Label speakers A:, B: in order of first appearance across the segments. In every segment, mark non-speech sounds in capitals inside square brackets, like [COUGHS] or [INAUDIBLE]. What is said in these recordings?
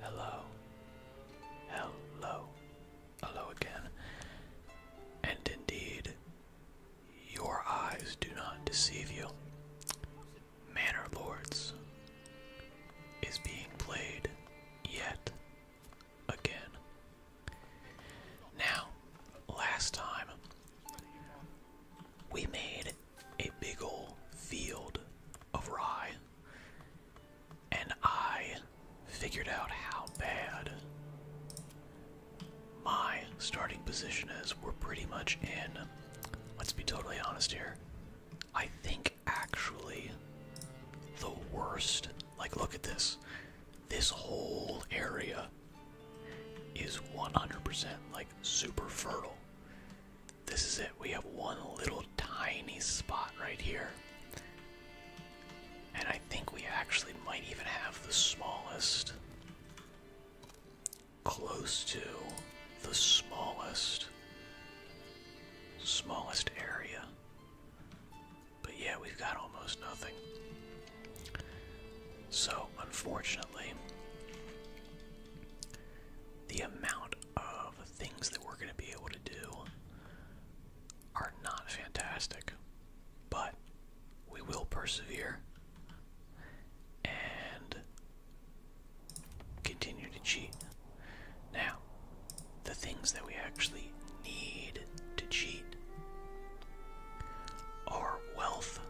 A: Hello. Hello. Hello again. And indeed, your eyes do not deceive you. Manor Lords is being played yet again. Now, last time, we made a big ol' field of rye and I figured out how bad my starting position is. We're pretty much in, let's be totally honest here, I think actually the worst. Like, look at this. This whole area is 100% like super fertile. This is it. We have one little tiny spot right here. And I think we actually might even have the smallest. Close to the smallest. Smallest area. But yeah, we've got almost nothing. So, unfortunately, the amount amount of things that we're going to be able to do are not fantastic, but we will persevere and continue to cheat. Now, the things that we actually need to cheat are wealth,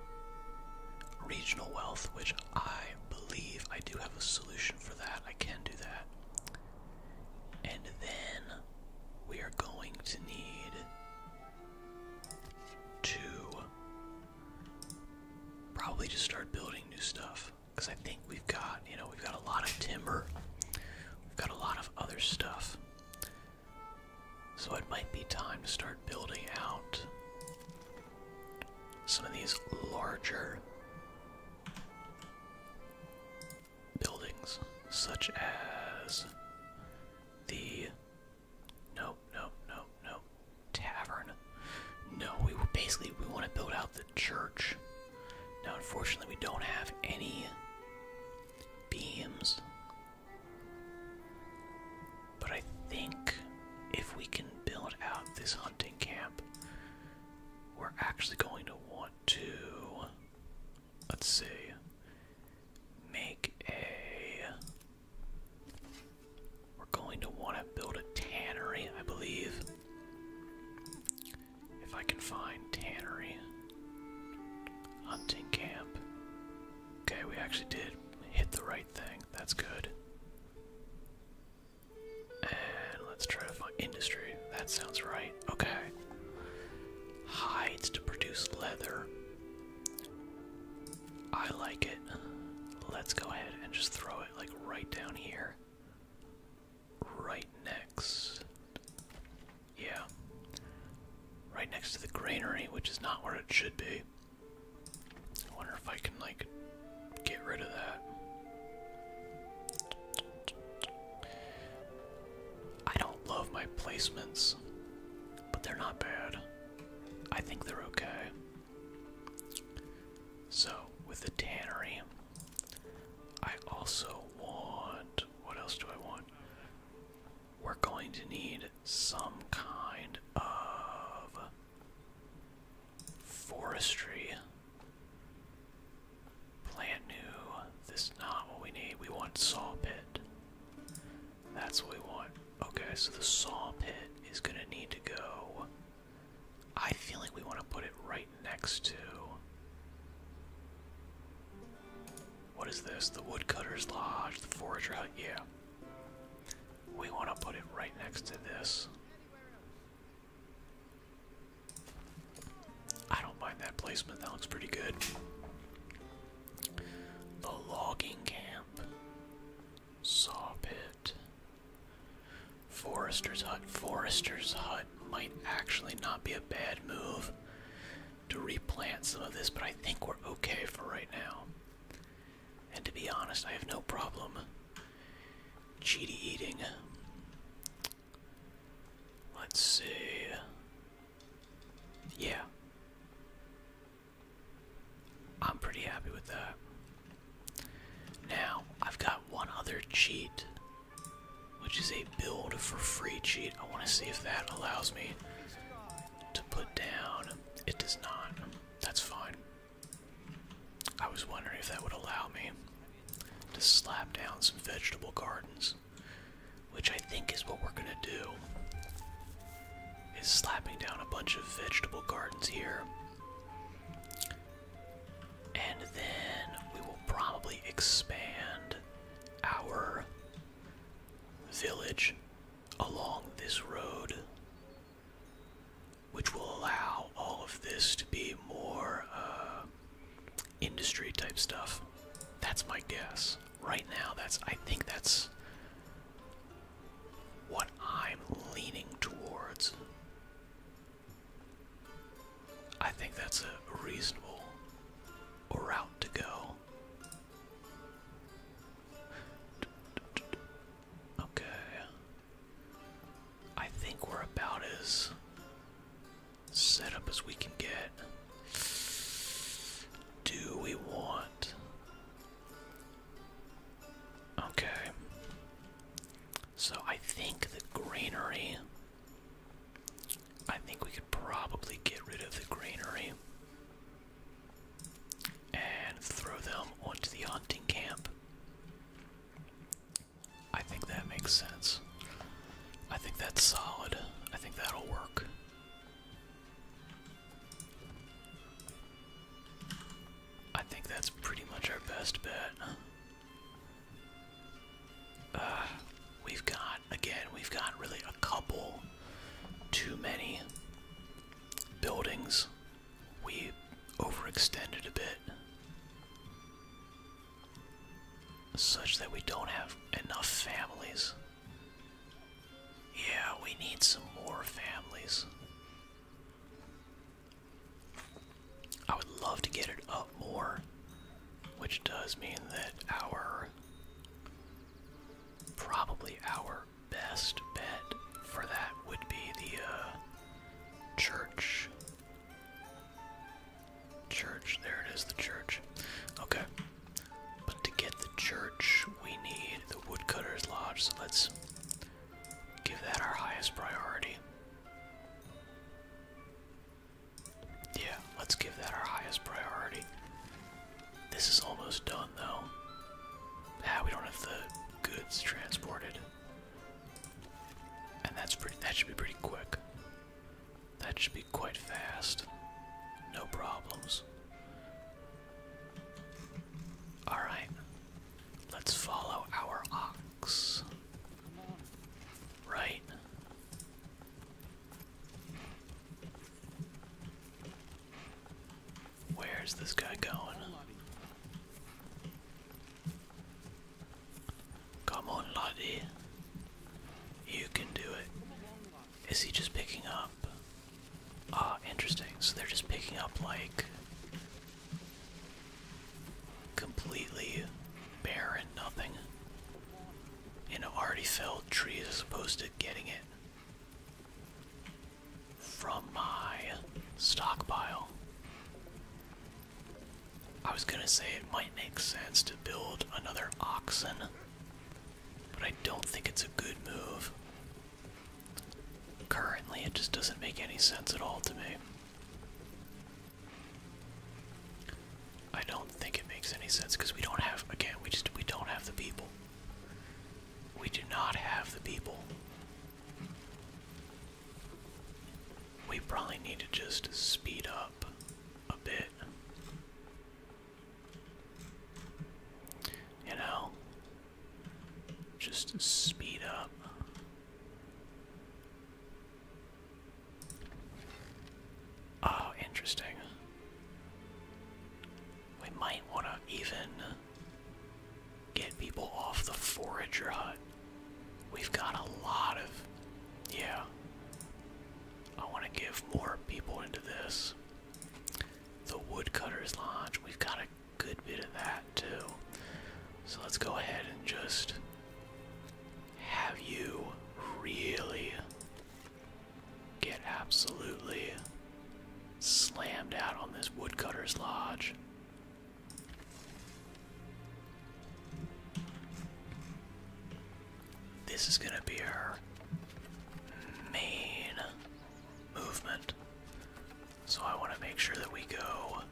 A: regional wealth, which I believe I do have a solution for that. I can do that. And then we are going to need to probably just start building new stuff. Because I think we've got, you know, we've got a lot of timber, we've got a lot of other stuff. So it might be time to start building out some of these larger buildings, such as the no, no, no, no tavern. No, we were basically we want to build out the church. Now, unfortunately, we don't have any beams. But I think if we can build out this hunting camp, we're actually going to want to, let's see, make a. We're going to want to build a tannery, I believe. If I can find tannery. Hunting camp. Okay, we actually did hit the right thing. That's good let's try to find industry. That sounds right. Okay. Hides to produce leather. I like it. Let's go ahead and just throw it like right down here. Right next. Yeah. Right next to the granary, which is not where it should be. I wonder if I can like get rid of that. I don't love my placements, but they're not bad. I think they're okay. So, with the tannery, I also want. What else do I want?
B: We're going to need some kind of Forestry.
A: Plant new. This is not what we need. We want saw pit. That's what we want. Okay, so the saw pit is gonna need to go. I feel like we want to put it right next to. What is this? The woodcutter's lodge, the forager hut. Yeah. We want to put it right next to this. I don't mind that placement. That looks pretty good. The logging camp, saw pit, forester's hut. Forester's hut might actually not be a bad move to replant some of this, but I think we're okay for right now. And to be honest, I have no problem cheaty eating Let's see. Yeah. I'm pretty happy with that. Now, I've got one other cheat, which is a build for free cheat. I want to see if that allows me to put down. It does not. That's fine. I was wondering if that would allow me to slap down some vegetable gardens, which I think is what we're gonna do. Is slapping down a bunch of vegetable gardens here. And then we will probably expand our village along this road, which will allow all of this to be more uh, industry type stuff. That's my guess. Right now, that's I think that's what I'm leaning towards. I think that's a reasonable route to go. Okay. I think we're about as set up as we can get. Do we want. Okay. So I think the greenery. I think we could probably get rid of the greenery and throw them onto the hunting camp. I think that makes sense. I think that's solid. I think that'll work. I think that's pretty much our best bet. Uh, we've got, again, we've got really a couple too many buildings. We overextended a bit such that we don't have enough families. Yeah, we need some more families. I would love to get it up more, which does mean that our probably our best bet for that would be the uh, church Church, there it is, the church. Okay. But to get the church, we need the woodcutter's lodge, so let's give that our highest priority. Yeah, let's give that our highest priority. This is almost done though. Ah, we don't have the goods transported. And that's pretty that should be pretty quick. That should be quite fast. No problems. Alright. Let's follow our ox. Right. Where's this guy going? Come on, laddie. You can do it. Is he just picking up? Ah, interesting. So they're just picking up like completely bare and nothing. You know, already felled trees as opposed to getting it from my stockpile. I was gonna say it might make sense to build another oxen, but I don't think it's a good move. Currently, it just doesn't make any sense at all to me. I don't think it makes any sense because we don't have, again, we just, we don't have the people. We do not have the people. We probably need to just speed up a bit. You know, just speed up. Oh, interesting. We might want to even get people off the forager hut We've got a lot of. Yeah. I want to give more people into this. The Woodcutter's Lodge. We've got a good bit of that too. So let's go ahead and just have you really get absolutely slammed out on this Woodcutter's Lodge. This is gonna be our main movement. So I wanna make sure that we go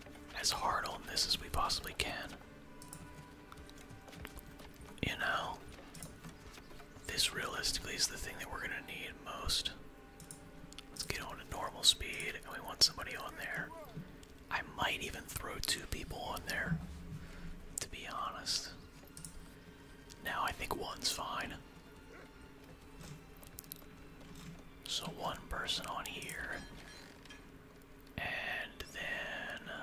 A: as hard on this as we possibly can. You know, this realistically is the thing that we're gonna need most. Let's get on a normal speed, and we want somebody on there I might even throw two people on there, to be honest. Now I think one's fine. So one person on here, and then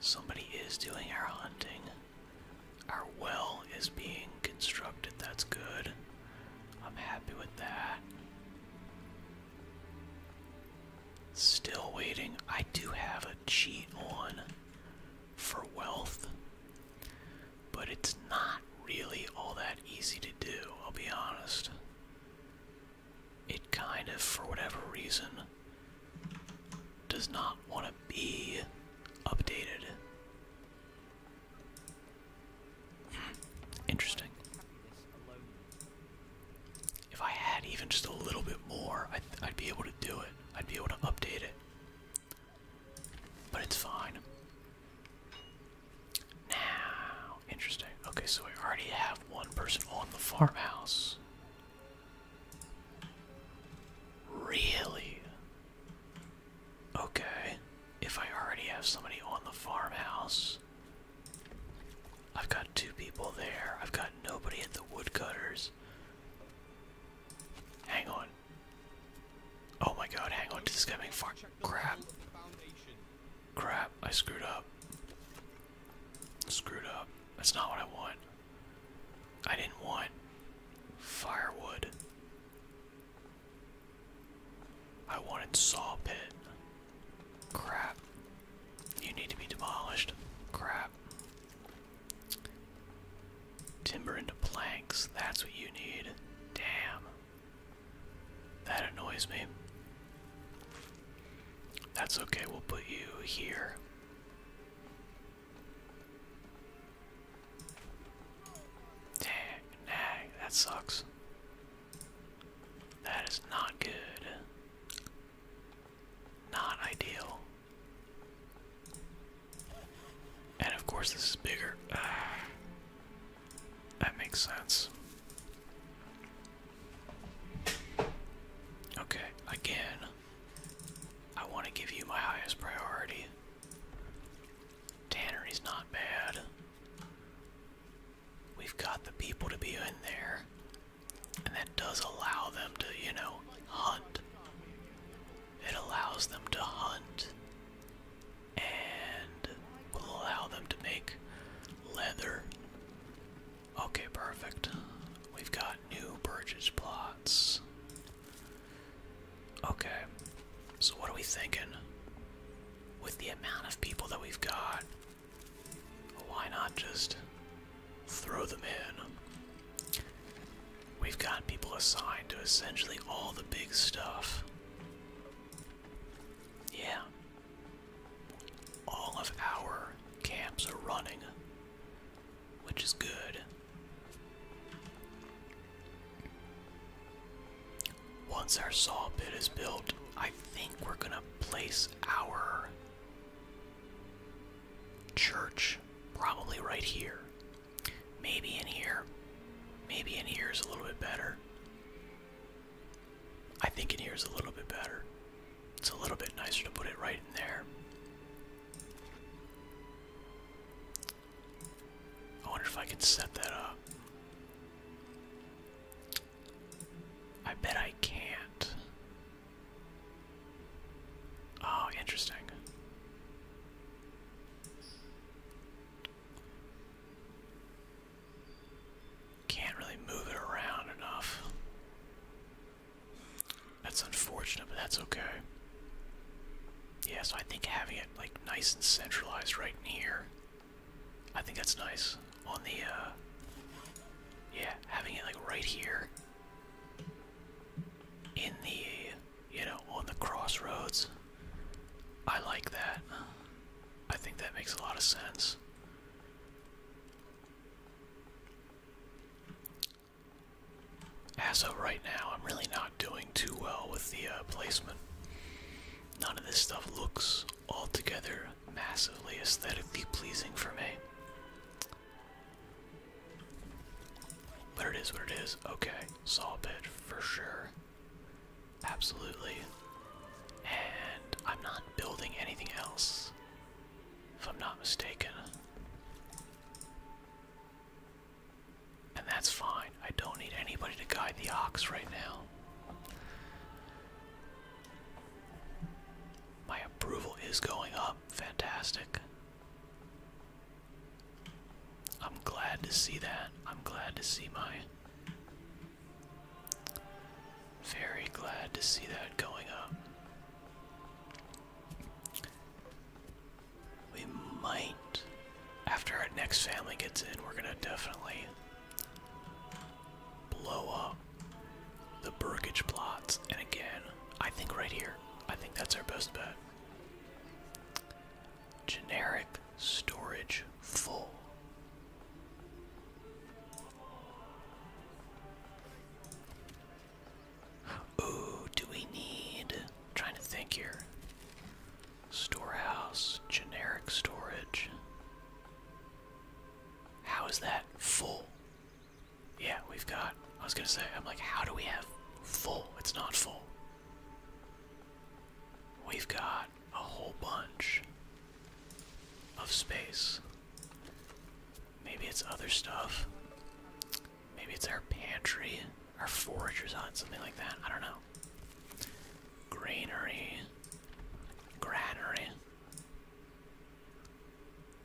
A: somebody is doing our hunting. Our well is being constructed, that's good. I'm happy with that. Still waiting. I do have a cheat on for wealth, but it's not really all that easy to do, I'll be honest. It kind of, for whatever reason, does not want to be updated. Hmm. Interesting. If I had even just a little bit more, I'd, be able to do it. I'd be able to update it. But it's fine. Now, interesting. Okay, so we already have one person on the farmhouse. Really? Okay. If I already have somebody on the farmhouse, I've got two people there. I've got nobody at the woodcutters. Hang on. Oh my god, hang on. This is coming far. Crap. Crap, I screwed up. Screwed up. That's not what I want. I didn't want firewood. I wanted sawpit. Crap. You need to be demolished. Crap. Timber into planks. That's what you need. Damn. That annoys me. That's okay, we'll put you here. Dang, nag, that sucks. That is not good. Not ideal. And of course, this is bigger. Ah, that makes sense. Okay, again, I want to give you my highest priority. Tanner is not bad. We've got the people to be in there. And that does allow them to, you know, hunt. It allows them to hunt and will allow them to make leather. Okay, perfect. We've got new purchase plots. Okay, so what are we thinking? With the amount of people that we've got, why not just throw them in? We've got people assigned to essentially all the big stuff. Yeah. All of our camps are running, which is good. Once our saw pit is built, I think we're gonna place our Church, probably right here. Maybe in here. Maybe in here is a little bit better. I think in here is a little bit better. It's a little bit nicer to put it right in there. I wonder if I can set that up. I bet I can't. Oh, interesting. Can't really move it around enough. That's unfortunate, but that's okay. Yeah, so I think having it like nice and centralized right in here, I think that's nice on the uh, yeah, having it like right here in the you know, on the crossroads. I like that. I think that makes a lot of sense. As of right now, I'm really not doing too well with the uh, placement. None of this stuff looks altogether massively aesthetically pleasing for me. But it is what it is. Okay, saw bit for sure. Absolutely. And I'm not building anything else, if I'm not mistaken. And that's fine. I don't need anybody to guide the ox right now. My approval is going up. Fantastic. I'm glad to see that. I'm glad to see my. Very glad to see that going up. We might, after our next family gets in, we're gonna definitely blow up the Burgage plots. And again, I think right here, I think that's our best bet. Generic storage full. Ooh, do we need? trying to think here. Storehouse, generic storage. How is that full? Yeah, we've got. I was gonna say, I'm like, how do we have full? It's not full. We've got a whole bunch of space. Maybe it's other stuff. Maybe it's our pantry, our foragers on, something like that. I don't know. Granary. Granary.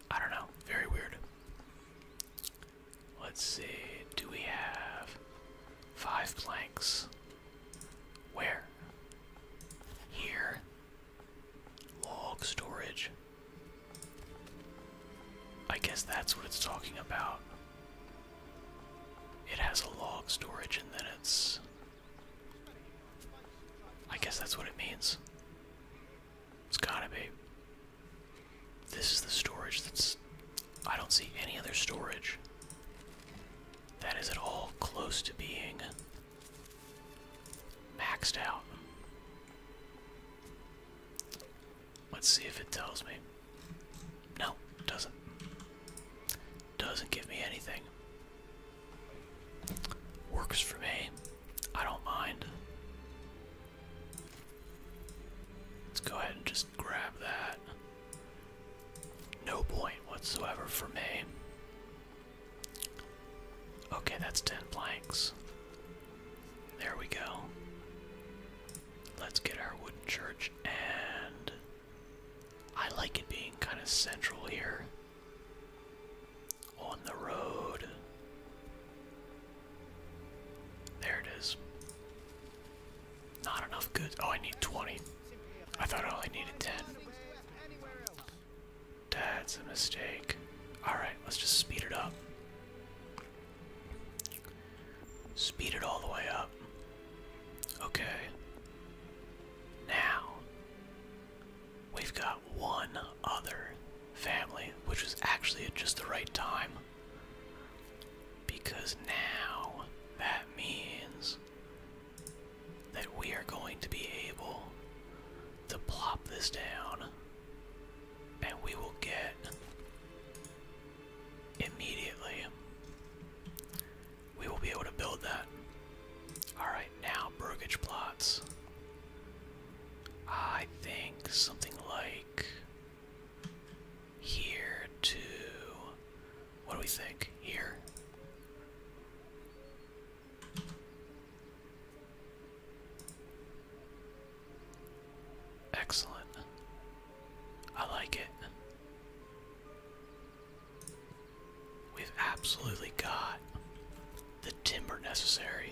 A: I don't know. Very weird. Let's see. Do we have five planks? Where? Here. Log storage. I guess that's what it's talking about. It has a log storage and then it's I guess that's what it means. It's gotta be. This is the storage that's. I don't see any other storage that is at all close to being maxed out. Let's see if it tells me. No, it doesn't. Doesn't give me anything. Works for me. I don't mind. Let's go ahead and just grab that. No point whatsoever for me. Okay, that's 10 planks. There we go. Let's get our wooden church, and I like it being kind of central here. On the road. There it is. Not enough goods. Oh, I need 20. I thought I only needed 10. That's a mistake. Alright, let's just speed it up. Speed it all the way up. Okay. Now, We've got one other family, which is actually at just the right time. Because now that means that we are going to be able to plop this down and we will get immediately we will be able to build that. Alright now, brokerage plots.
B: I think something like here
A: to what do we think? Here. Excellent. I like it. We've absolutely got the timber necessary.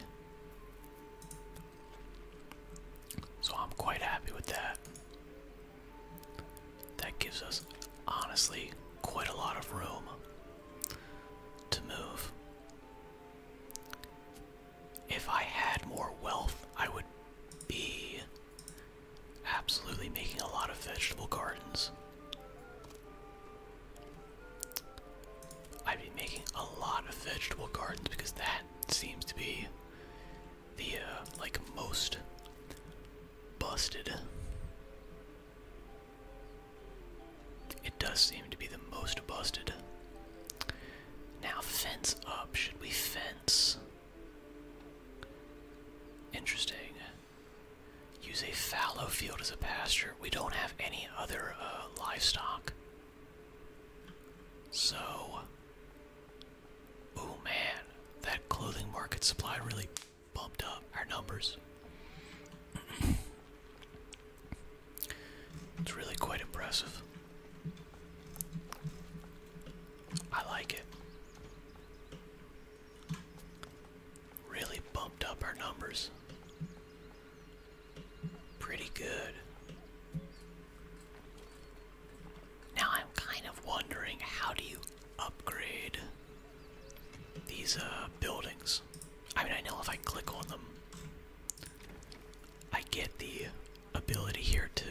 A: So I'm quite happy with that. That gives us, honestly, quite a lot of room to move. If I had more wealth, I would be absolutely making a lot of vegetable gardens. I've been making a lot of vegetable gardens because that seems to be the uh, like most busted. It does seem to be the most busted. Now fence up. Should we fence? Interesting. Use a fallow field as a pasture. We don't have any other uh, livestock. So, oh man, that clothing market supply really bumped up our numbers. [CLEARS THROAT] it's really quite impressive. I like it. Really bumped up our numbers pretty good. Now I'm kind of wondering how do you upgrade these uh, buildings? I mean, I know if I click on them, I get the ability here to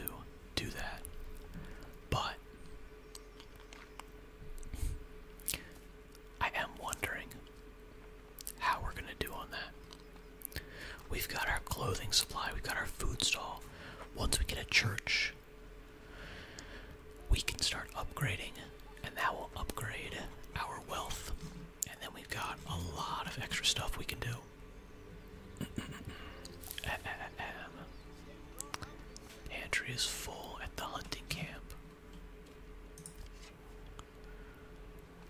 A: do that. But I am wondering how we're gonna do on that. We've got our clothing supply, we've got our food stall. Once we get a church, we can start upgrading, and that will upgrade our wealth. And then we've got a lot of extra stuff we can do. [CLEARS THROAT] Pantry is full at the hunting camp.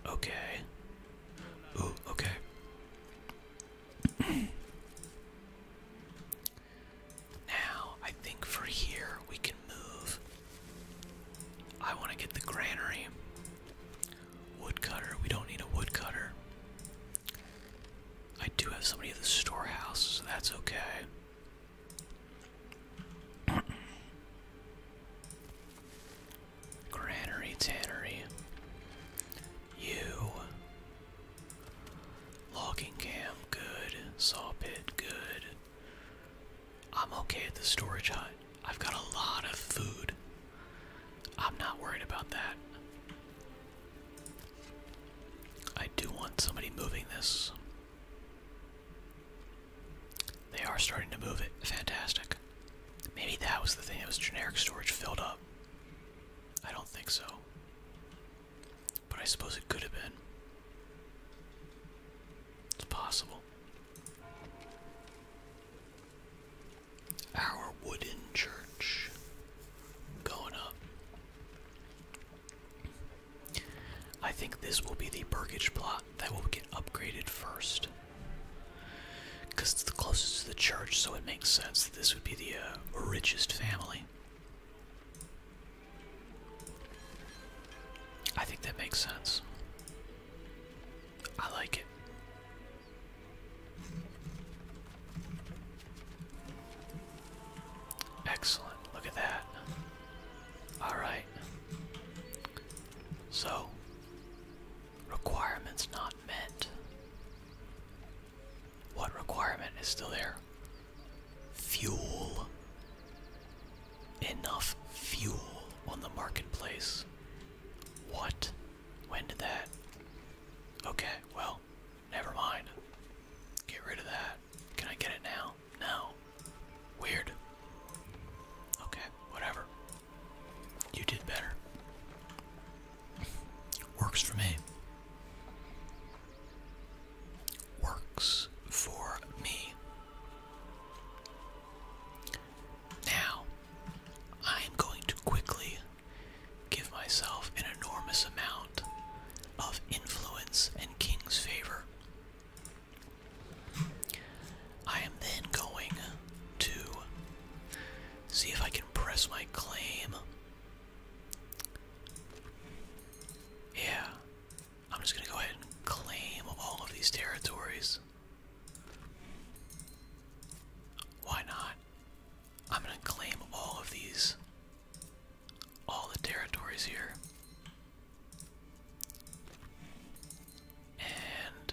A: Okay. Ooh, okay. now, I think for here we can move. I want to get the granary. Woodcutter. We don't need a woodcutter. I do have somebody at the storehouse, so that's okay. [COUGHS] Granary Tannery. You. Logging camp, good. Saw pit, good. I'm okay at the storage hut. I've got a lot of food. I'm not worried about that. I do want somebody moving this. They are starting to move it. Fantastic. Maybe that was the thing. It was generic storage filled up. I don't think so. But I suppose it could have been. It's possible. Our wooden church going up. I think this will be the Burgage plot that will get upgraded first. Because it's the closest to the church, so it makes sense that this would be the uh, richest family. I think that makes sense. I like it. Excellent. Look at that. All right. So, requirements not met. What requirement is still there? Fuel. Enough fuel on the marketplace. What?
B: When did that? Okay, well, never mind. Get rid of
A: that. Can I get it now? No. Weird. Okay, whatever. You did better. Works for me. Works for me. Now, I am going to quickly give myself an enormous amount of influence and king's favor. I am then going to see if I can press my claim. Yeah, I'm just going to go ahead and claim all of these territories. Why not? I'm going to claim all of these, all the territories here. And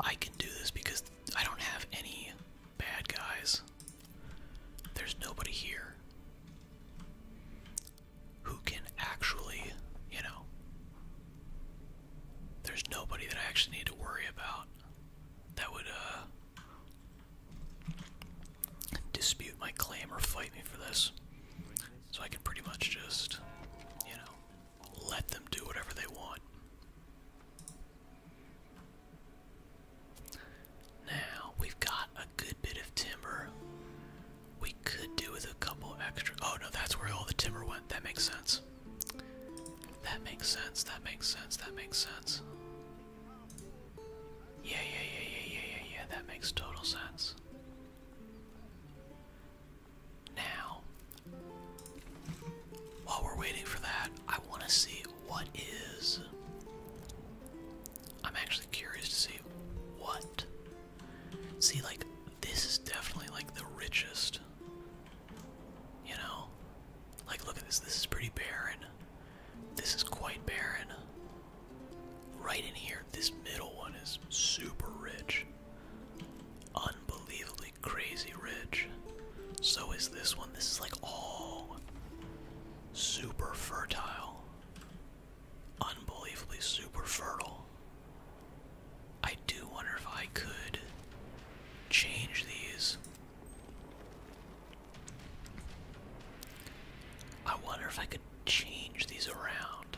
A: I can do this because I don't have any bad guys. There's nobody here who can actually, you know, there's nobody that I actually need to worry about that would uh, dispute my claim or fight me for this. So I can pretty much just, you know, let them do whatever they want. Now, we've got a good bit of timber. We could do with a couple extra. Oh no, that's where all the timber went. That makes sense. That makes sense. That makes sense. That makes sense. Yeah, yeah, yeah, yeah, yeah, yeah, yeah. That makes total sense. Now, while we're waiting for that, I want to see what is. I'm actually curious to see what. See, like, this is definitely like the richest. You know? Like, look at this. This is pretty barren. This is quite barren. Right in here, this middle one is super rich. Unbelievably crazy rich. So is this one. This is like all super fertile. Unbelievably super fertile. I do wonder if I could change these. I wonder if I could change these around.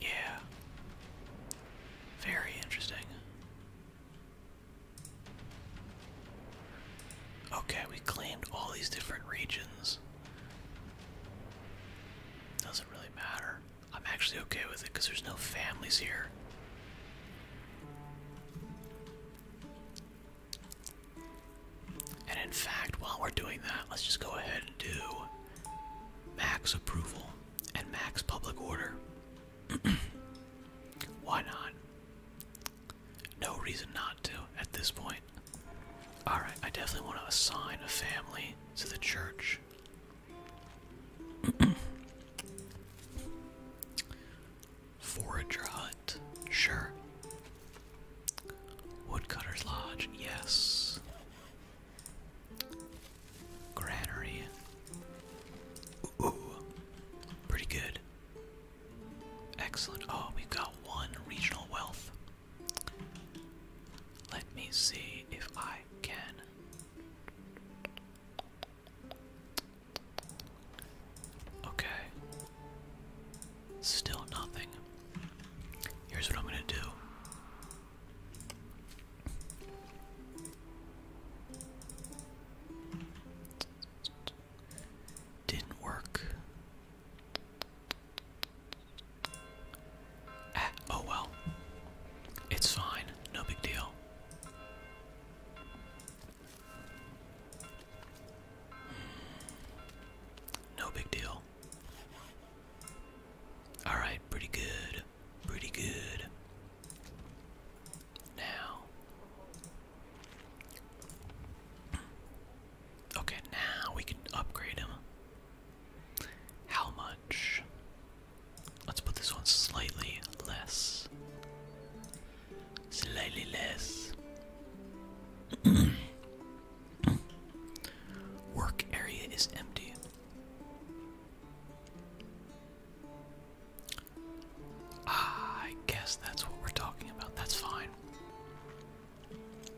A: Yeah. Very interesting. Okay, we claimed all these different regions. Doesn't really matter. I'm actually okay with it because there's no families here. And in fact, while we're doing that, let's just go ahead and do max approval and max public order. [CLEARS THROAT] Why not? No reason not to at this point. Alright, I definitely want to assign a family to the church. [CLEARS THROAT] Forager hunt, sure. Woodcutter's lodge, yes. Granary, ooh, pretty good. Excellent. Oh, we've got one regional wealth. Let me see if I can. Okay. Still nothing. Here's what I'm gonna do. Didn't work. Eh, oh well. It's fine. No big deal. No big deal. Alright, pretty good. Pretty good. Now. Okay, now we can upgrade him. How much? Let's put this one slightly less slightly less. [CLEARS THROAT] Work area is empty. Ah, I guess that's what we're talking about. That's fine.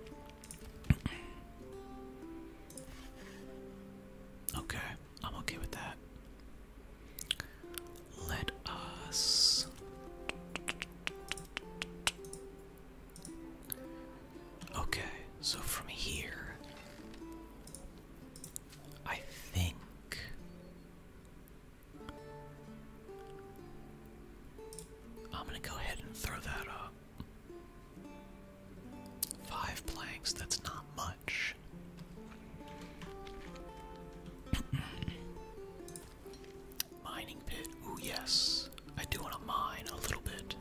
A: [CLEARS THROAT] okay, I'm okay with that. Let us Okay, so from here, I think. I'm gonna go ahead and throw that up. Five planks, that's not much. [CLEARS THROAT] Mining pit. Ooh, yes. I do want to mine a little bit.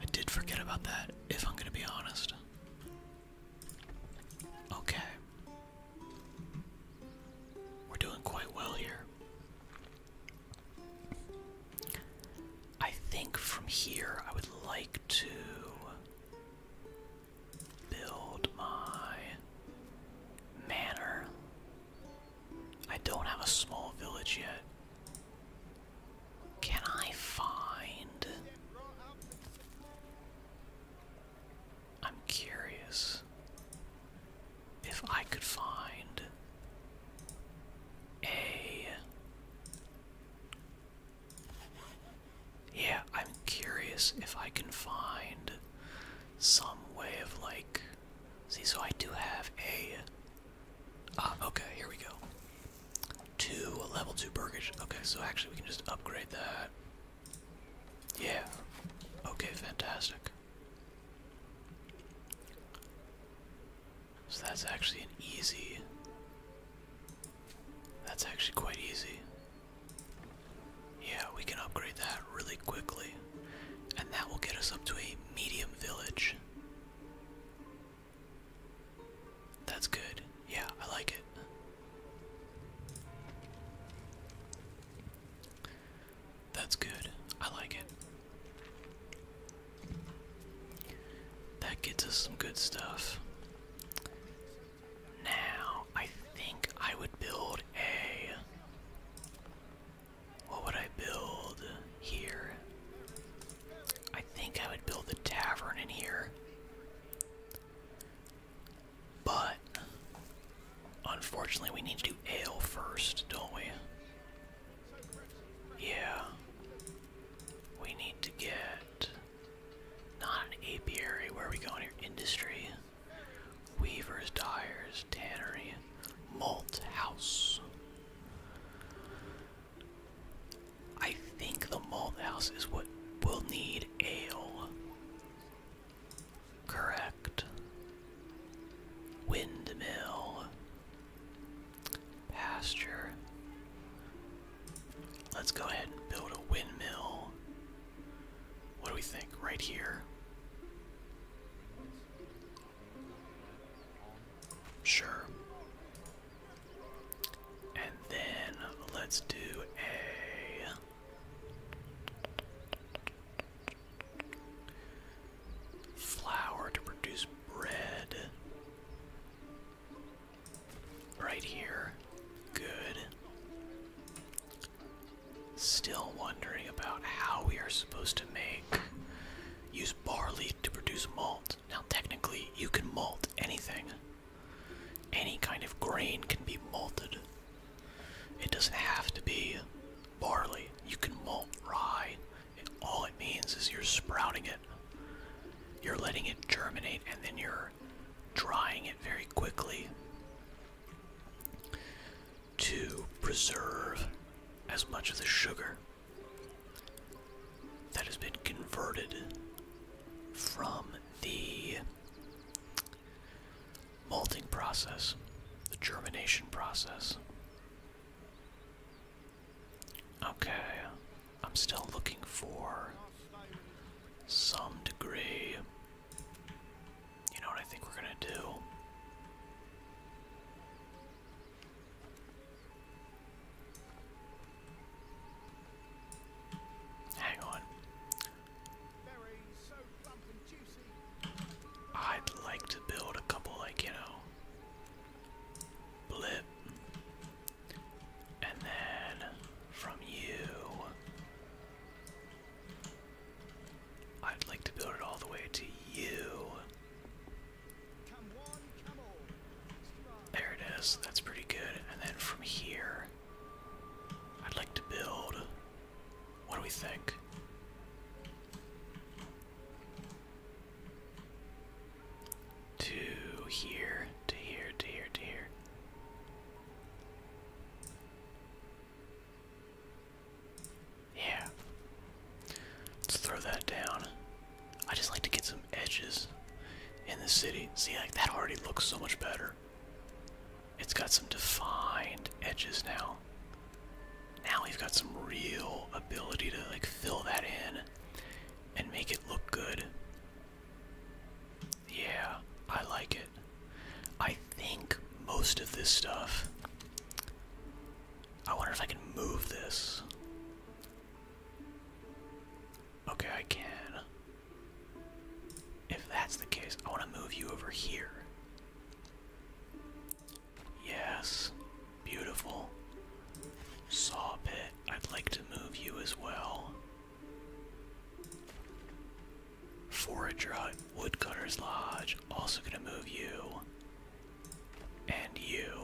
A: I did forget about that, if I'm going to be honest. Okay. We're doing quite well here. I think from here I would like to build my manor. I don't have a small village yet. Can I find. I'm curious if I could find a. Yeah, I'm curious if I can find some way of like See, so I do have a. Ah, okay, here we go. Two level two burgage. Okay, so actually we can just upgrade that. Yeah. Okay, fantastic. So that's actually an easy. That's actually quite easy. Yeah, we can upgrade that really quickly. And that will get us up to a medium village. That's good. Yeah, I like it. That's good. I like it. That gets us some good stuff. Now, I think I would build a. What would I build here? I think I would build the tavern in here. But unfortunately we need to do ale first, don't we? Yeah. We need to get not an apiary. Where are we going here? Industry. Weavers, tires, tannery, malt house. I think the malt house is what will need ale. Correct. Windmill. Pasture. Let's go ahead and build a windmill. What do we think? Right here. Sure. And then let's do a. Flour to produce bread. Right here. Good. Still wondering about how we are supposed to make use barley to produce malt. Now, technically, you can malt anything. Any kind of grain can be malted. It doesn't have to be barley. You can malt rye. all it means is you're sprouting it. You're letting it germinate and then you're drying it very quickly to preserve as much of the sugar that has been converted from the malting process, the germination process. Okay, I'm still looking for some degree you know what I think we're gonna do? Hang on. I'd like to build a couple, like, you know, blip. And then from you, I'd like to build it all the way to you. There it is. That's pretty good. And then from here, I'd like to build. What do we think? To here, to here, to here, to here. Yeah. Let's throw that down. I just like to get some edges in the city. See, like that already looks so much better. It's got some defined edges now. Now we've got some real ability to like fill that in and make it look good. Yeah, I like it. I think most of this stuff I wonder if I can move this. Okay, I can. If that's the case, I want to move you over here. Yes, beautiful. Saw pit. I'd like to move you as well. Forager Hut, Woodcutter's
B: Lodge, also gonna move you. And you.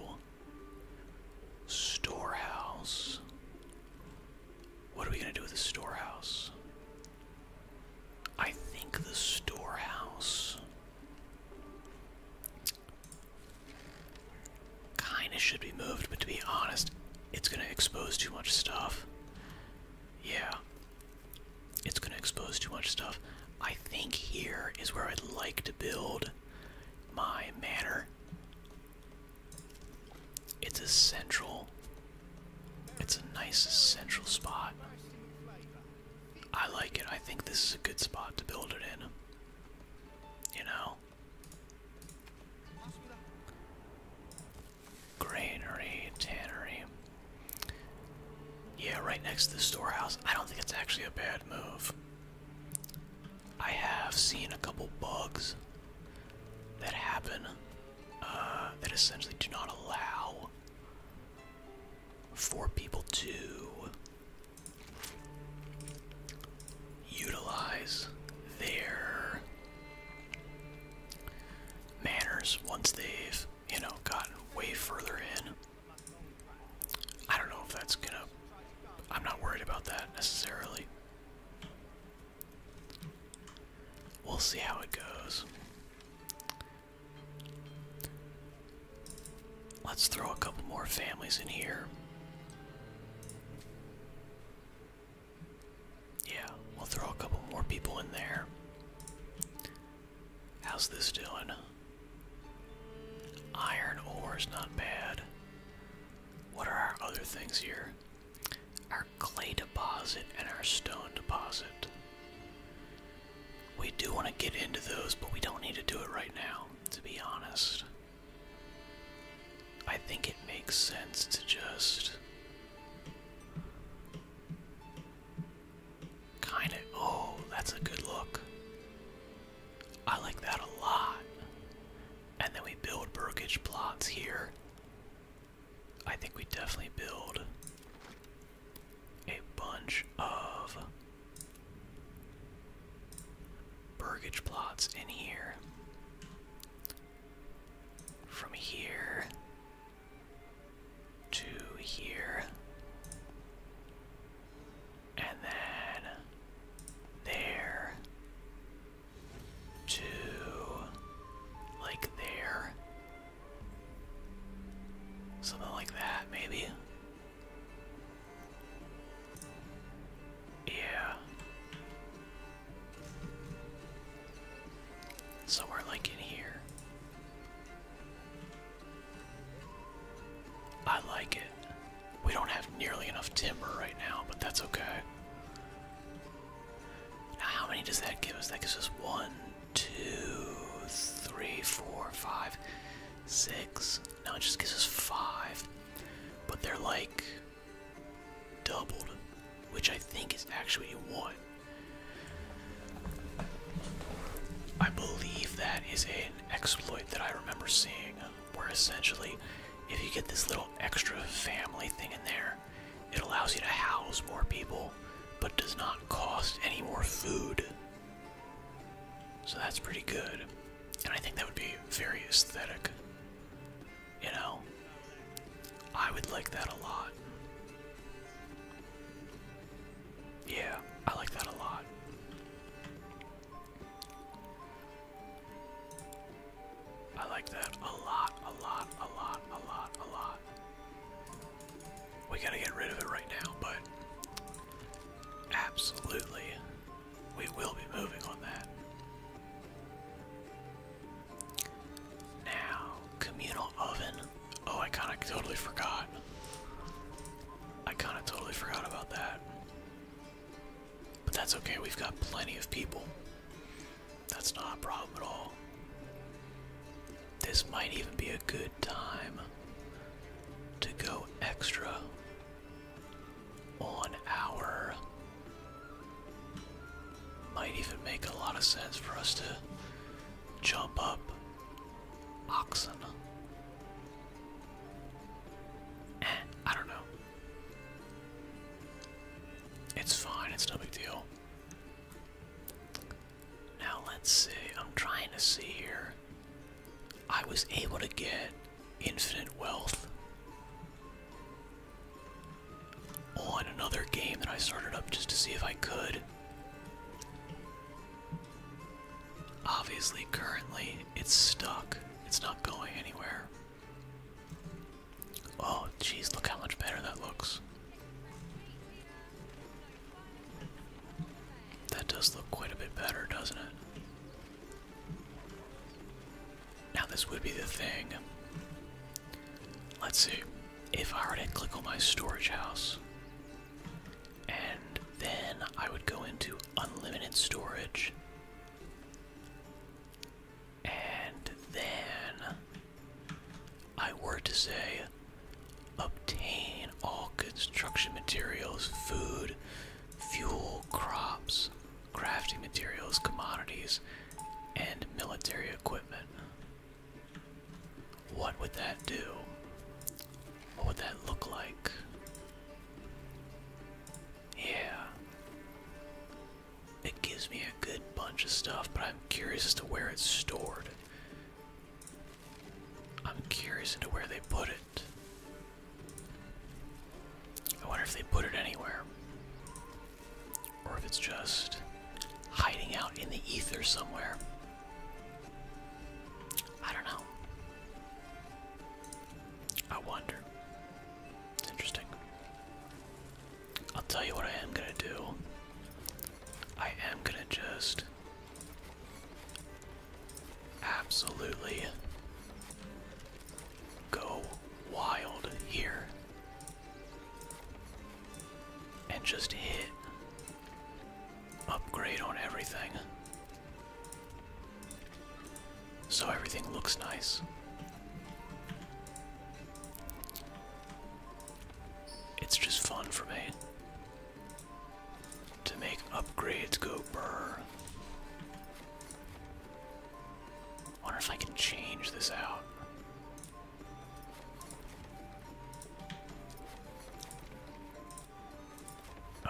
B: Storehouse.
A: What are we going to do with the storehouse? I think the storehouse kind of should be moved, but to be honest, it's going to expose too much stuff. Yeah, it's going to expose too much stuff. I think here is where I'd like to build my manor. It's a central, it's a nice central spot. I like it. I think this is a good spot to build it in. You know? Granary, tannery. Yeah, right next to the storehouse. I don't think it's actually a bad move. I have seen a couple bugs that happen uh, that essentially do not allow for people to utilize their manners once they've, you know, gotten way further in. I don't know if that's gonna. I'm not worried about that necessarily. We'll see how it goes. Let's throw a couple more families in here. Yeah, we'll throw a couple more people in there. How's this doing? Iron ore is not bad. What are our other things here? Our clay deposit and our stone deposit. We do want to get into those, but we don't need to do it right now, to be honest. I think it makes sense to just Kind of. Oh, that's a good look. I like that a lot. And then we build brokerage plots here. I think we definitely build a bunch of burgage plots in here. From here to here. And then there to like there. Something like that, maybe. Yeah. Somewhere like in here. I like it. We don't have nearly enough timber right now, but that's okay. Now, how many does that give us? That gives us one, two, three, four, five, six. Now it just gives us five. But they're like doubled, which I think is actually one. I believe that is an exploit that I remember seeing, where essentially, if you get this little extra family thing in there, it allows you to house more people, but does not cost any more food. So that's pretty good. And I think that would be very aesthetic. You know? I would like that a lot. Yeah, I like that a lot. I like that a lot, a lot, a lot, a lot, a lot. We gotta get rid of it right now, but absolutely, we will be moving on that. Now, communal oven. Oh, I kind of totally forgot. I kind of totally forgot about that. But that's okay, we've got plenty of people. That's not a problem at all. This might even be a good time to go extra on our. Might even make a lot of sense for us to jump up Oxen. I don't know. It's fine, it's no big deal. Now let's see, I'm trying to see here. I was able to get infinite wealth on another game that I started up just to see if I could. Obviously, currently, it's stuck. It's not going anywhere. Oh, geez, look how much better that looks. That does look quite a bit better, doesn't it? Now, this would be the thing. Let's see. If I were to click on my storage house, and then I would go into unlimited storage. And then I were to say obtain all construction materials, food, fuel, crops, crafting materials, commodities, and military equipment. What would that do? What would that look like? Yeah. It gives me a good bunch of stuff, but I'm curious as to where it's stored. I'm curious into where they put it. I wonder if they put it anywhere. Or if it's just hiding out in the ether somewhere. I don't know. I wonder. It's interesting. I'll tell you what I am gonna do. I am gonna just absolutely go wild here and just hit upgrade on everything. So everything looks nice. It's just fun for me to make upgrades go brr. Wonder if I can change this out.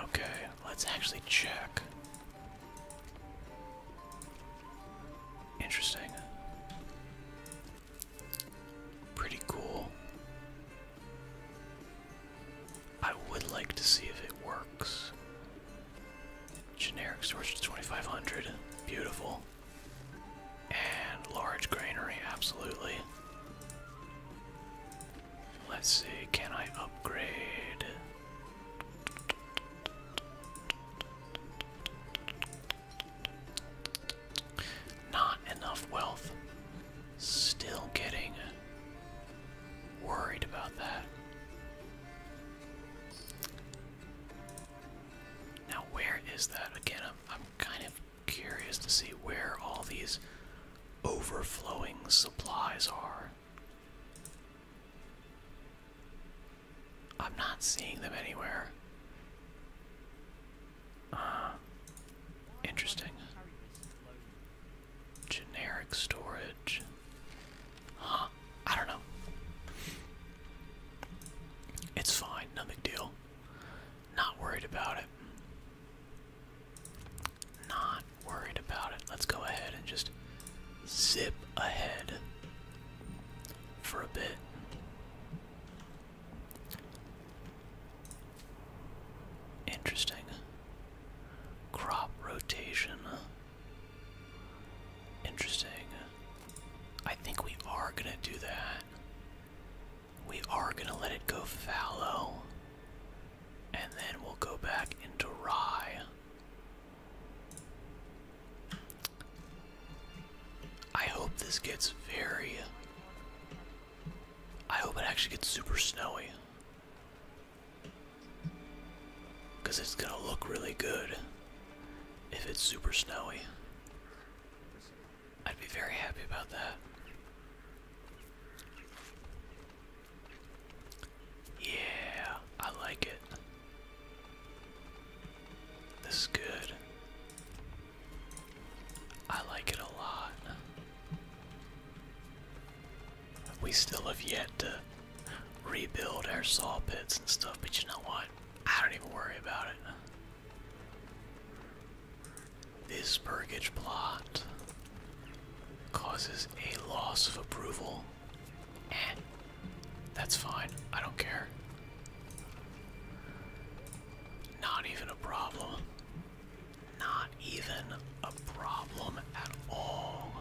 A: Okay, let's actually check. Interesting. Pretty cool. I would like to see if it works. Generic storage 2500. Beautiful. And large granary, absolutely. Let's see, can I upgrade? Not enough wealth. Still getting worried about that. Now, where is that? Again, I'm, kind of curious to see where all these overflowing supplies are. I'm not seeing them anywhere. Uh, interesting. Generic storage. Huh, I don't know. It's fine, no big deal. Not worried about it. Not worried about it. Let's go ahead and just zip ahead for a bit. Interesting. Crop rotation. Interesting. I think we are going to do that. We are going to let it go fallow. And then we'll go back into rye. I hope this gets very. I hope it actually gets super snowy. Because it's gonna look really good if it's super snowy. I'd be very happy about that. Yeah, I like it. This is good. I like it a lot. We still have yet to rebuild our saw pits and stuff, but you know what? I don't even worry about it. This Burgage plot causes a loss of approval. Eh, that's fine. I don't care. Not even a problem. Not even a problem at all.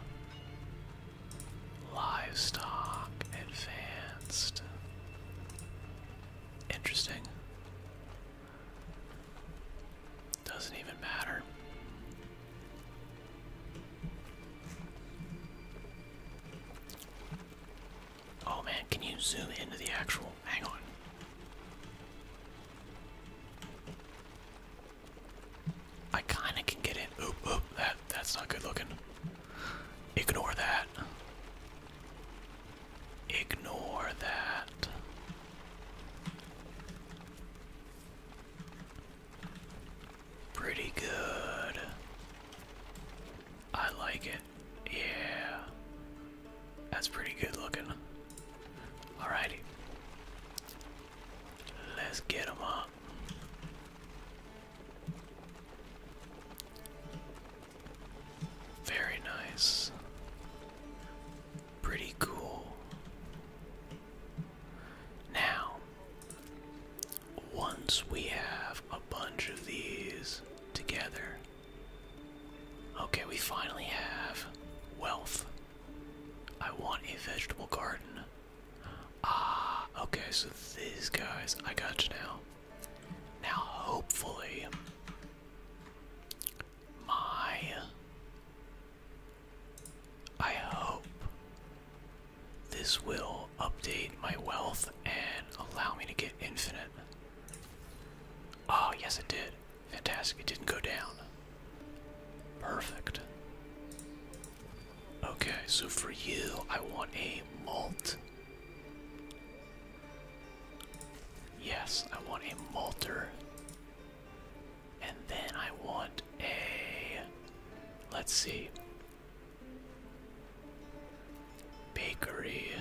A: Livestock advanced. Interesting. Doesn't even matter. Oh man, can you zoom into the actual? Hang on. I kinda can get in. that, that's not good looking. Ignore that. Ignore that. Pretty good. I like it. Yeah. That's pretty good looking. Alrighty. Let's get up. Very nice pretty cool. Now, once we have a bunch of these together, okay, we finally have wealth. I want a vegetable garden. Ah, okay, so these guys, I got you now. Now, hopefully, my I hope this will update my wealth and allow me to get infinite. Oh, yes, it did. Fantastic. It didn't go down. Perfect. Okay, so for you, I want a malt. Yes, I want a malter. And then I want a. Let's see. Bakery.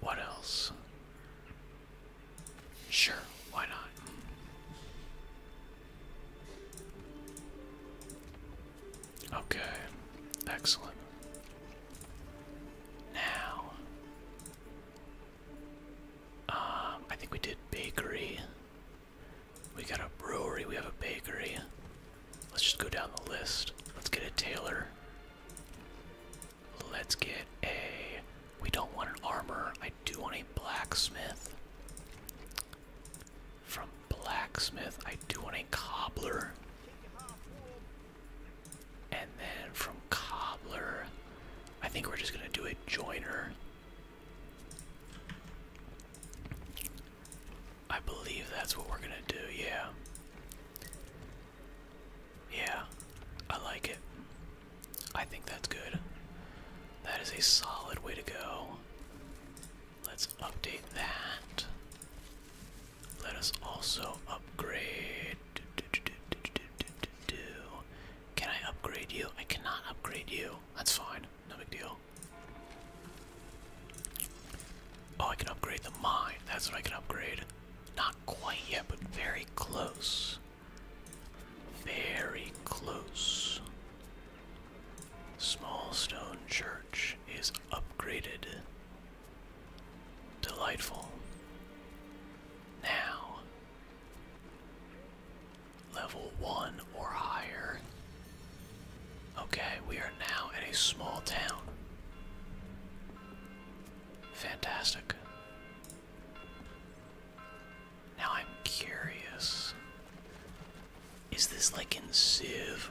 A: What else? Sure, why not? Okay, excellent. Now, um, I think we did bakery. We got a brewery, we have a
B: bakery. Let's just go down the list. Let's get a tailor. Let's get a. We don't want an armor. I do want a blacksmith.
A: From blacksmith, I do want a cobbler. And then from cobbler, I think we're just gonna do a joiner. I believe that's what we're gonna do, yeah. Yeah, I like it. I think that's good. That is a solid way to go. Let's update that. Let us also upgrade can I upgrade you? I cannot upgrade you. That's fine. No big deal. Oh, I can upgrade the mine. That's what I can upgrade. Not quite yet, but very close. Very close. Small stone church is upgraded. Delightful. Now, level one or higher. Okay, we are now in a small town. Fantastic. Now I'm curious. Is this like in Civ,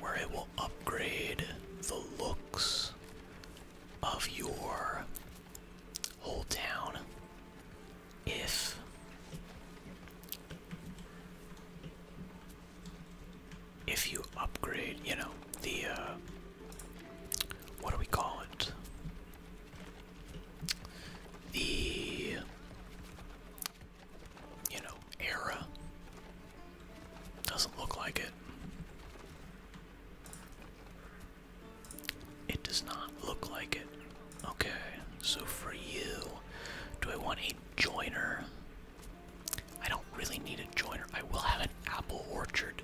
A: where it will upgrade the looks of your whole town if if you upgrade, you know, the uh, what do we call it? The you know, era doesn't look like it. It does not look like it. Okay, so for you, do I want a joiner? I don't really need a joiner. I will have an apple orchard.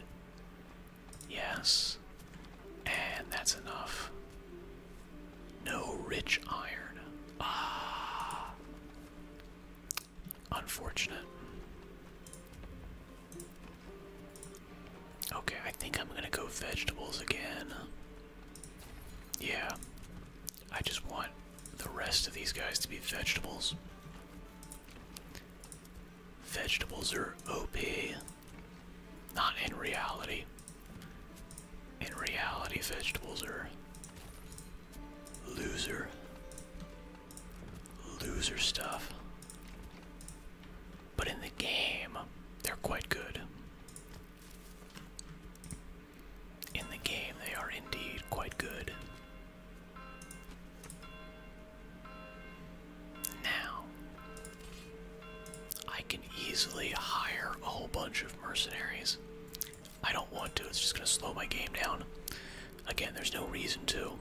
A: Yes. And that's enough. No rich iron. Ah. Unfortunate. Okay, I think I'm gonna go vegetables again. Yeah. I just want the rest of these guys to be vegetables. Vegetables are OP. Not in reality. In reality, vegetables are loser loser stuff. But in the game, they're quite good. In the game, they are indeed quite good. Now, I can easily hire a whole bunch of mercenaries. I don't want to, it's just going to slow my game down. Again, there's no reason to.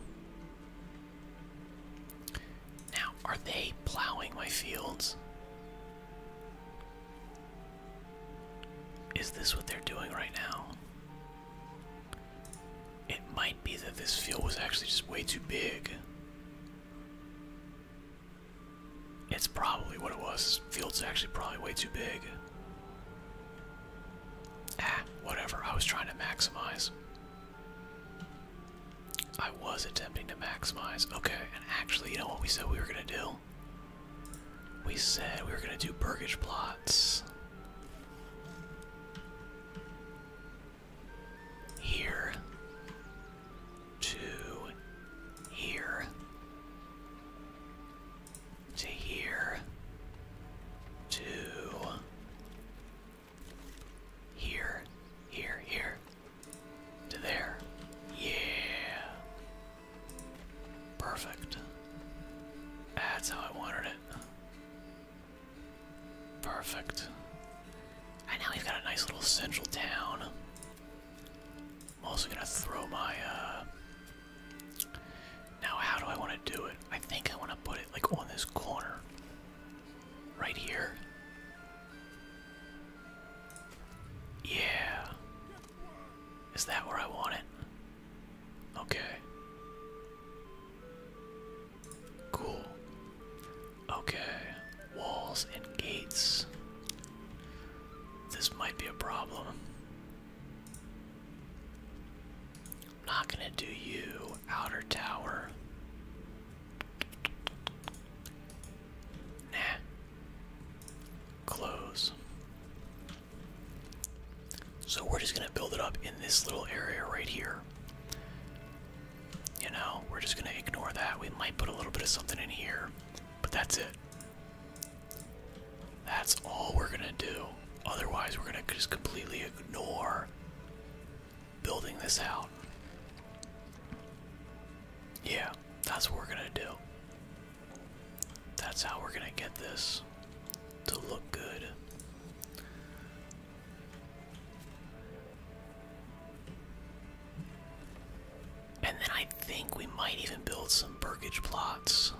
A: Now, are they plowing my fields? Is this what they're doing right now? It might be that this field was actually just way too big. It's probably what it was. This field's actually probably way too big. Ah, whatever. I was trying to maximize. I was attempting to maximize. Okay, and actually, you know what we said we were gonna do? We said we were gonna do Burgage plots. Here to here to here to here, here, here. To there. Yeah. Perfect. That's how I wanted it. Perfect. And now we've got a nice little central town. I'm also gonna throw my, uh... Now how do I want to do it? I think I want to put it, like, on this corner. Right here. Yeah. Is that where I want it? Okay. Cool. Okay.
B: Walls and gates. This might be a problem
A: not gonna do you, outer tower. Nah. Close. So we're just gonna build it up in this little area right here. You know, we're just gonna ignore that. We might put a little bit of something in here, but that's it. That's all we're gonna do. Otherwise, we're gonna just completely ignore building this out. Yeah, that's what we're gonna do. That's how we're gonna get this to look good. And then I think we might even build some burgage plots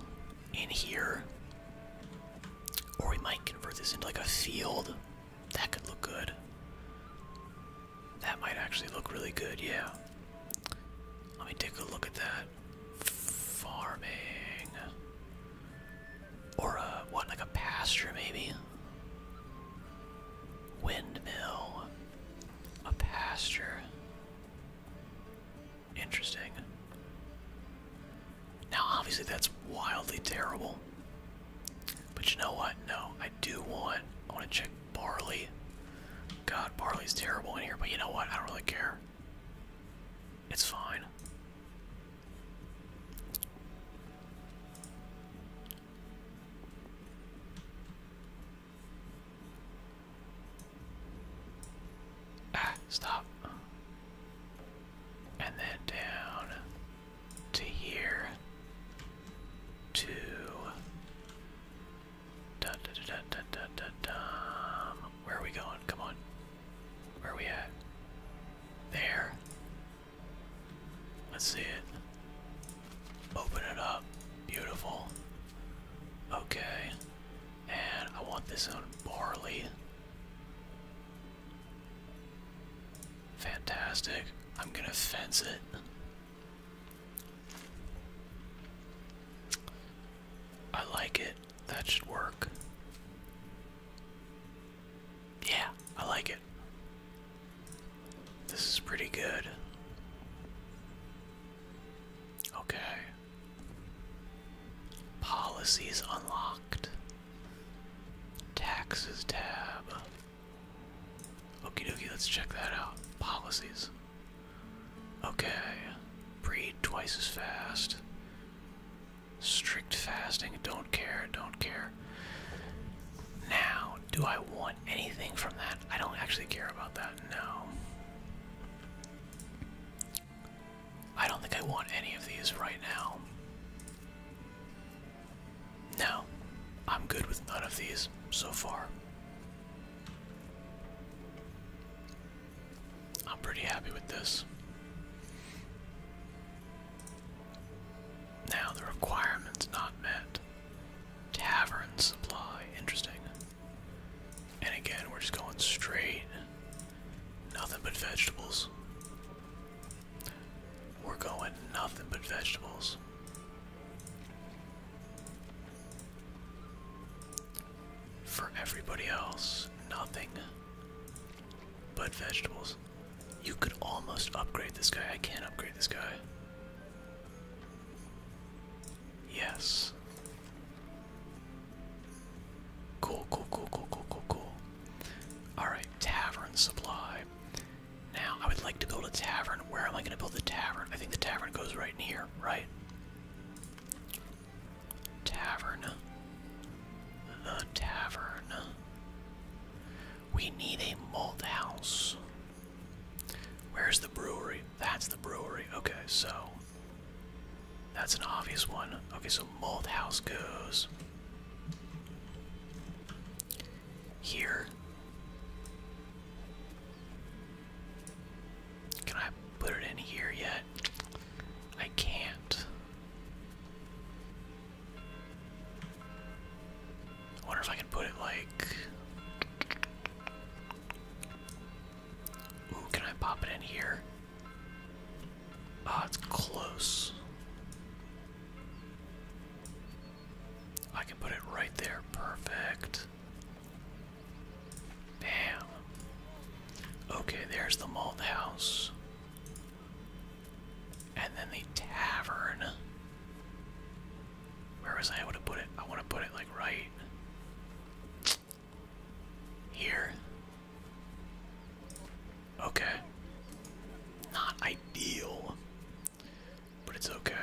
A: in here. Or we might convert this into like a field that could look good. That might actually look really good, yeah. Let me take a look at that. Farming. Or, uh, what, like a pasture maybe? Windmill. A pasture. Interesting. Now, obviously, that's wildly terrible. But you know what? No, I do want. I want to check barley. God, barley's terrible in here. But you know what? I don't really care. It's fine. Ah, stop. And then down to here to
B: da, da, da, da, da, da, da. where are we going? Come on. Where are we at?
A: There. Let's see it. Open it up. Beautiful. Okay. And I want this on barley. Fantastic. I'm gonna fence it. I like it. That should work. Yeah, I like it. This is pretty good. Okay. Policies unlocked. Taxes tab. Okey dokey. let's check that out. Policies. Okay. Breed twice as fast. Strict fasting, don't care, don't care. Now, do I want anything from that? I don't actually care about that, no. I don't think I want any of these right now. No, I'm good with none of these so far. I'm pretty happy with this. Now, the requirement's not met. Tavern supply, interesting. And again, we're just going straight. Nothing but vegetables. We're going nothing but vegetables. For everybody else, nothing but vegetables. You could almost upgrade this guy. I can't upgrade this guy. Yes. Cool, cool, cool, cool, cool, cool, cool. Alright, tavern supply. Now, I would like to go to the tavern. Where am I going to build the tavern? I think the tavern goes right in here, right? Tavern. Uh, tavern. We need a malt house. Where's the brewery? That's the brewery. Okay, so that's an obvious one. Okay, so malt house goes here. Can I put it in here yet? I can't. I wonder if I can put it like. can I pop it in here? Ah, it's close. I can put it right there. Perfect. Bam. Okay, there's the malt house. And then the tavern. Where was I able to put it? I want to put it like right here. Okay. Not ideal, but it's okay.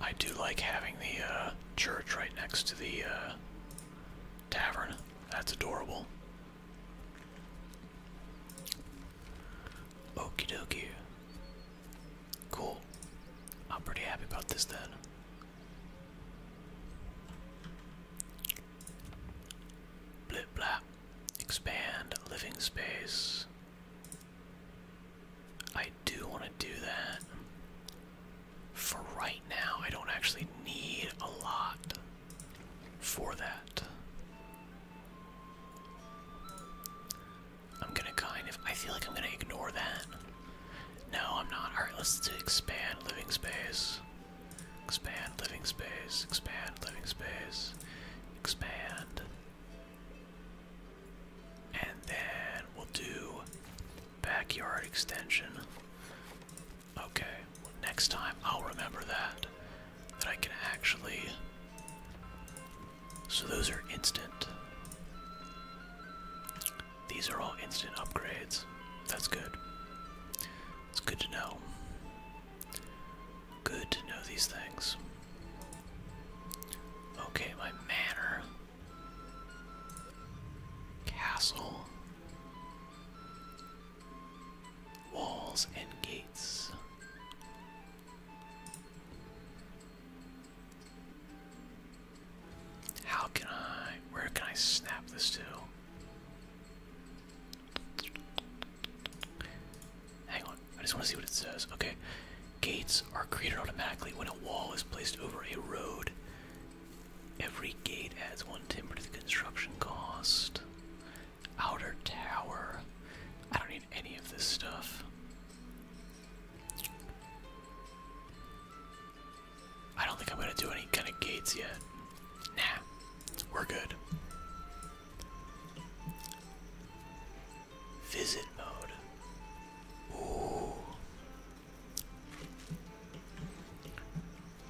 A: I do like having the uh, church right next to the uh, tavern. That's adorable. Okie dokie. Cool. I'm pretty happy about this then. Blip blap. Expand
B: living space. I do want to do that. For right now,
A: I don't actually need a lot for that. I'm gonna kind of. I feel like I'm gonna ignore that. No, I'm not. Alright, let's expand living space. Expand living space, expand living space, expand. And then we'll do backyard extension. Okay, next time I'll remember that. That I can actually. So those are instant. These are all instant upgrades. That's good. It's good to know. Good to know these things. Okay, my manor. Castle. Walls and gates. How can I. Where can I snap this to? Hang on, I just want to see what it says. Okay, gates are created automatically when a wall is placed over a road. Every gate adds one timber to the construction cost. Outer tower. I don't need any of this stuff. I don't think I'm gonna do any kind of gates yet. Nah, we're good. Visit mode. Ooh.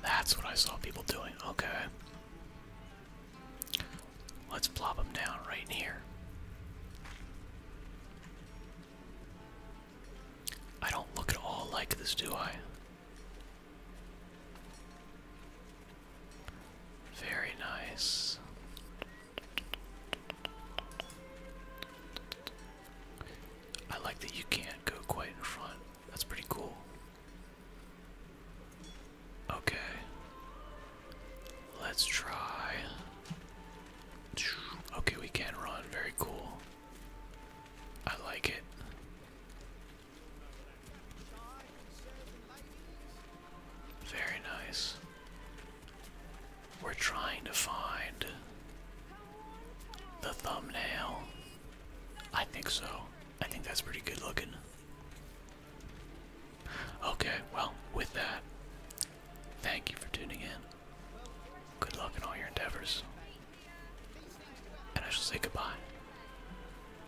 A: That's what I saw people doing. Okay. Let's plop them down right here. I don't look at all like this, do I? Very nice. I like that you can't go quite in front. That's pretty cool. Okay. Let's try. Okay, we can run. Very cool. I like it. Very nice. We're trying to find the thumbnail. I think so. I think that's pretty good looking. Okay, well, with that, thank you
B: for tuning in. Good luck in all your endeavors. And I shall say goodbye.